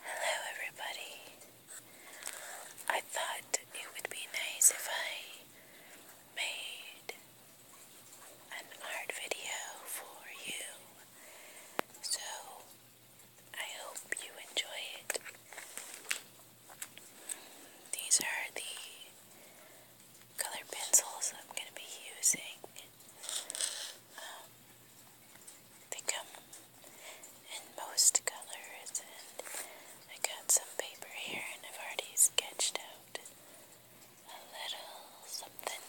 Hello, everybody. I thought it would be nice if I made an art video for you. So I hope you enjoy it. These are the colored pencils I'm going to be using um, they come in most colors, and I got some paper here, and I've already sketched out a little something.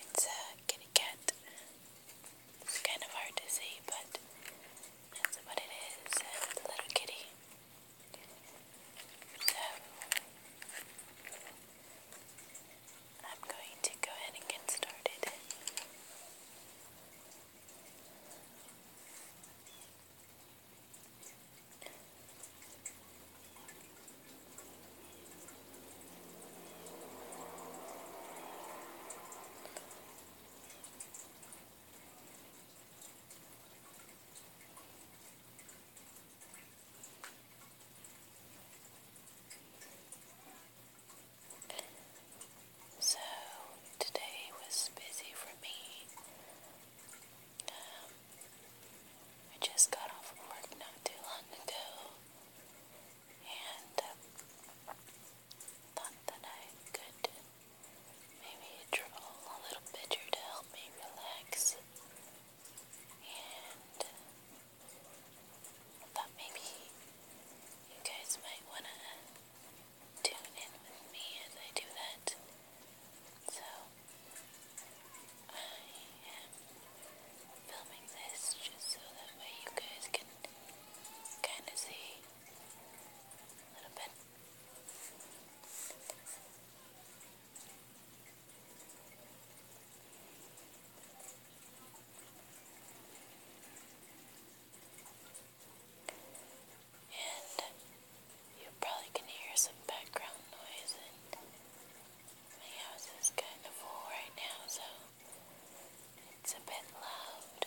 It's a kitty cat. It's kind of hard to see, but that's what it is. A little kitty. I'm going to go ahead and get started. So today was busy for me. Um, I just got off work not too long ago and um, thought that I could maybe draw a little picture to help me relax and uh, maybe you guys might want to tune in with me as I do that. So I am filming this just so that way you guys can kind of see a little bit. And you probably can hear some background noise, my house is kind of full right now, so it's a bit loud.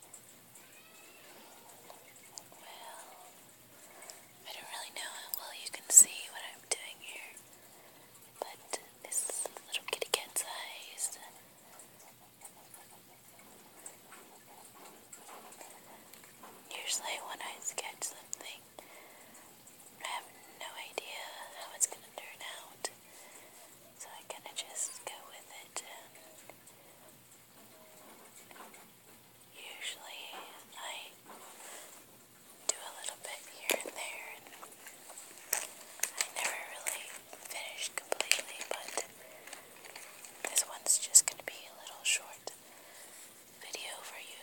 Well, I don't really know how well you can see what I'm doing here, but this little kitty cat's eyes Usually, when I sketch something, I have no idea how it's going to turn out, so I kind of just go with it Usually I do a little bit here and there, I never really finish completely, but this one's just going to be a little short video for you.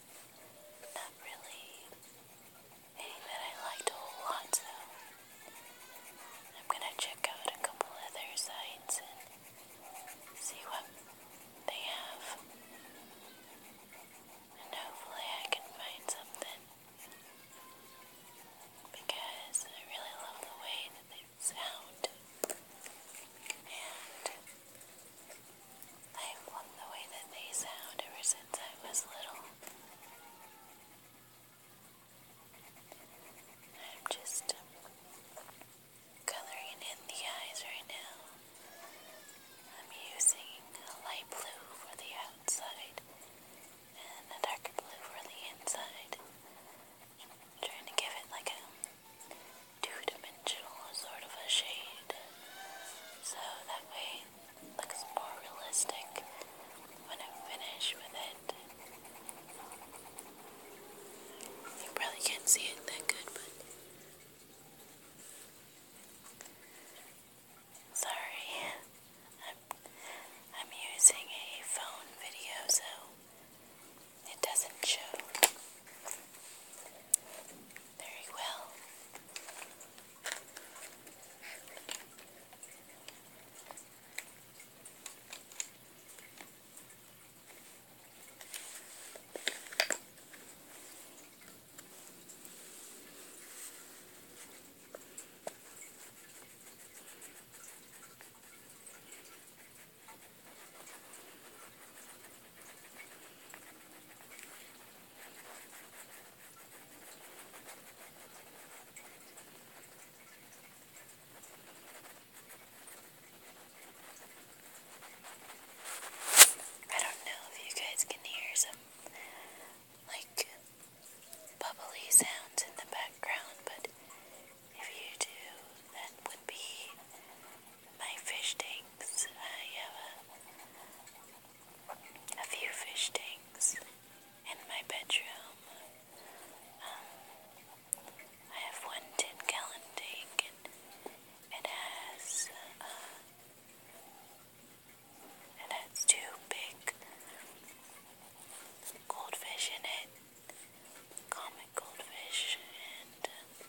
Not really anything that I liked a whole lot, so I'm gonna check out a couple of other sites and see what they have. And hopefully I can find something. Because I really love the way that they sound. And I've the way that they sound ever since I was little. I'm just coloring in the eyes right now. I'm using a light blue for the outside and a darker blue for the inside. trying to give it like a two-dimensional sort of a shade. So that way looks more realistic when I'm finished with it. You probably can't see it that good, but sorry. I'm I'm using a phone video so it doesn't show very well. I don't know if you guys can hear some like bubbly sounds in the background, but if you do, that would be my fish tanks. I have a, few fish tanks in my bedroom. Um, I have one gallon tank and it has uh, it has two big goldfish in it common goldfish, and uh,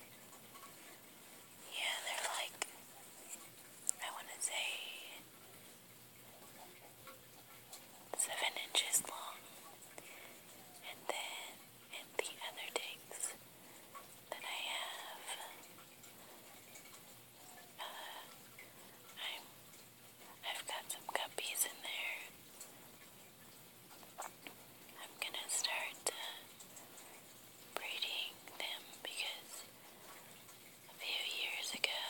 yeah, they're like, I want to say, seven inches long. And then, and the other tanks that I have, uh, I'm, I've got some guppies in there. I'm gonna start uh, breeding them because a few years ago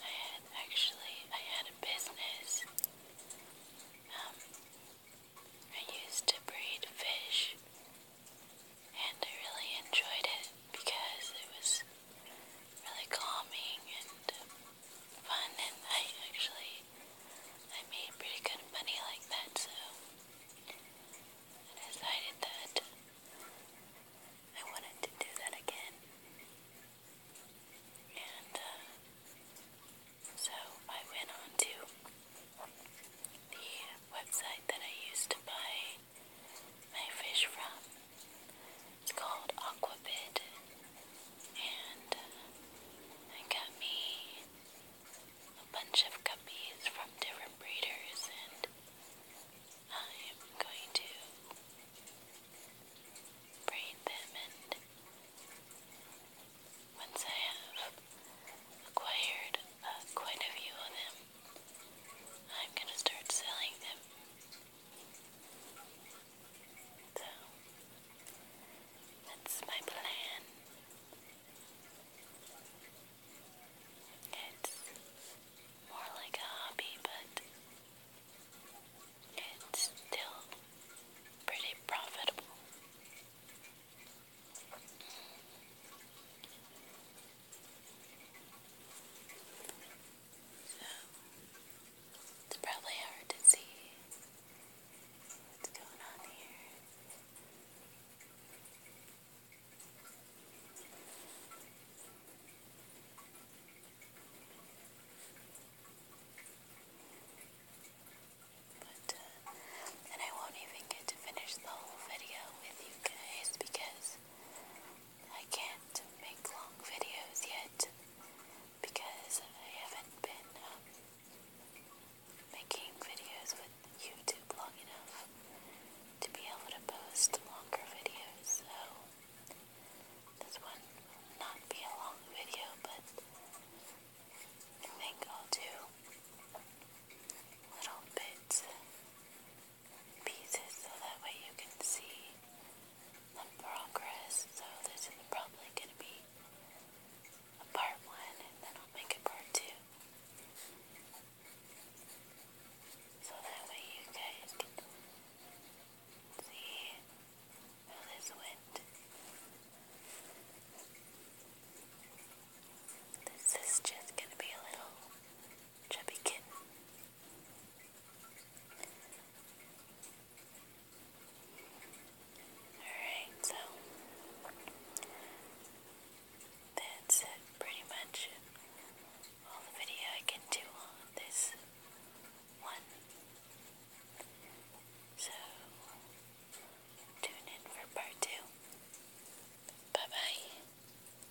I had actually I had a business. Um, I used to breed fish and I really enjoyed it because it was really calming and um, fun and I actually I made pretty good money like that so I decided that I wanted to do that again and uh, so I went on to the website that I used to buy my fish from it's called Aquabid, and uh, I got me a bunch of guppies from different breeders, and I'm going to braid them. And once I have acquired uh, quite a few of them, I'm going to start selling them. So, that's my plan. It's more like a hobby, but it's still pretty profitable. So, it's probably hard to see what's going on here. But, uh, and I won't even get to finish the whole video with you guys because I can't make long videos yet because I haven't been um, making videos with YouTube long enough to be able to post longer videos. So this one will not be a long video, but I think I'll do little bits pieces so that way you can see the progress. So this is probably going to be a part one and then I'll make a part two. So that way you guys can see how this went. This is just going to be a little chubby kitten. Alright, so that's pretty much all the video I can do on this one. So tune in for part two. Bye bye.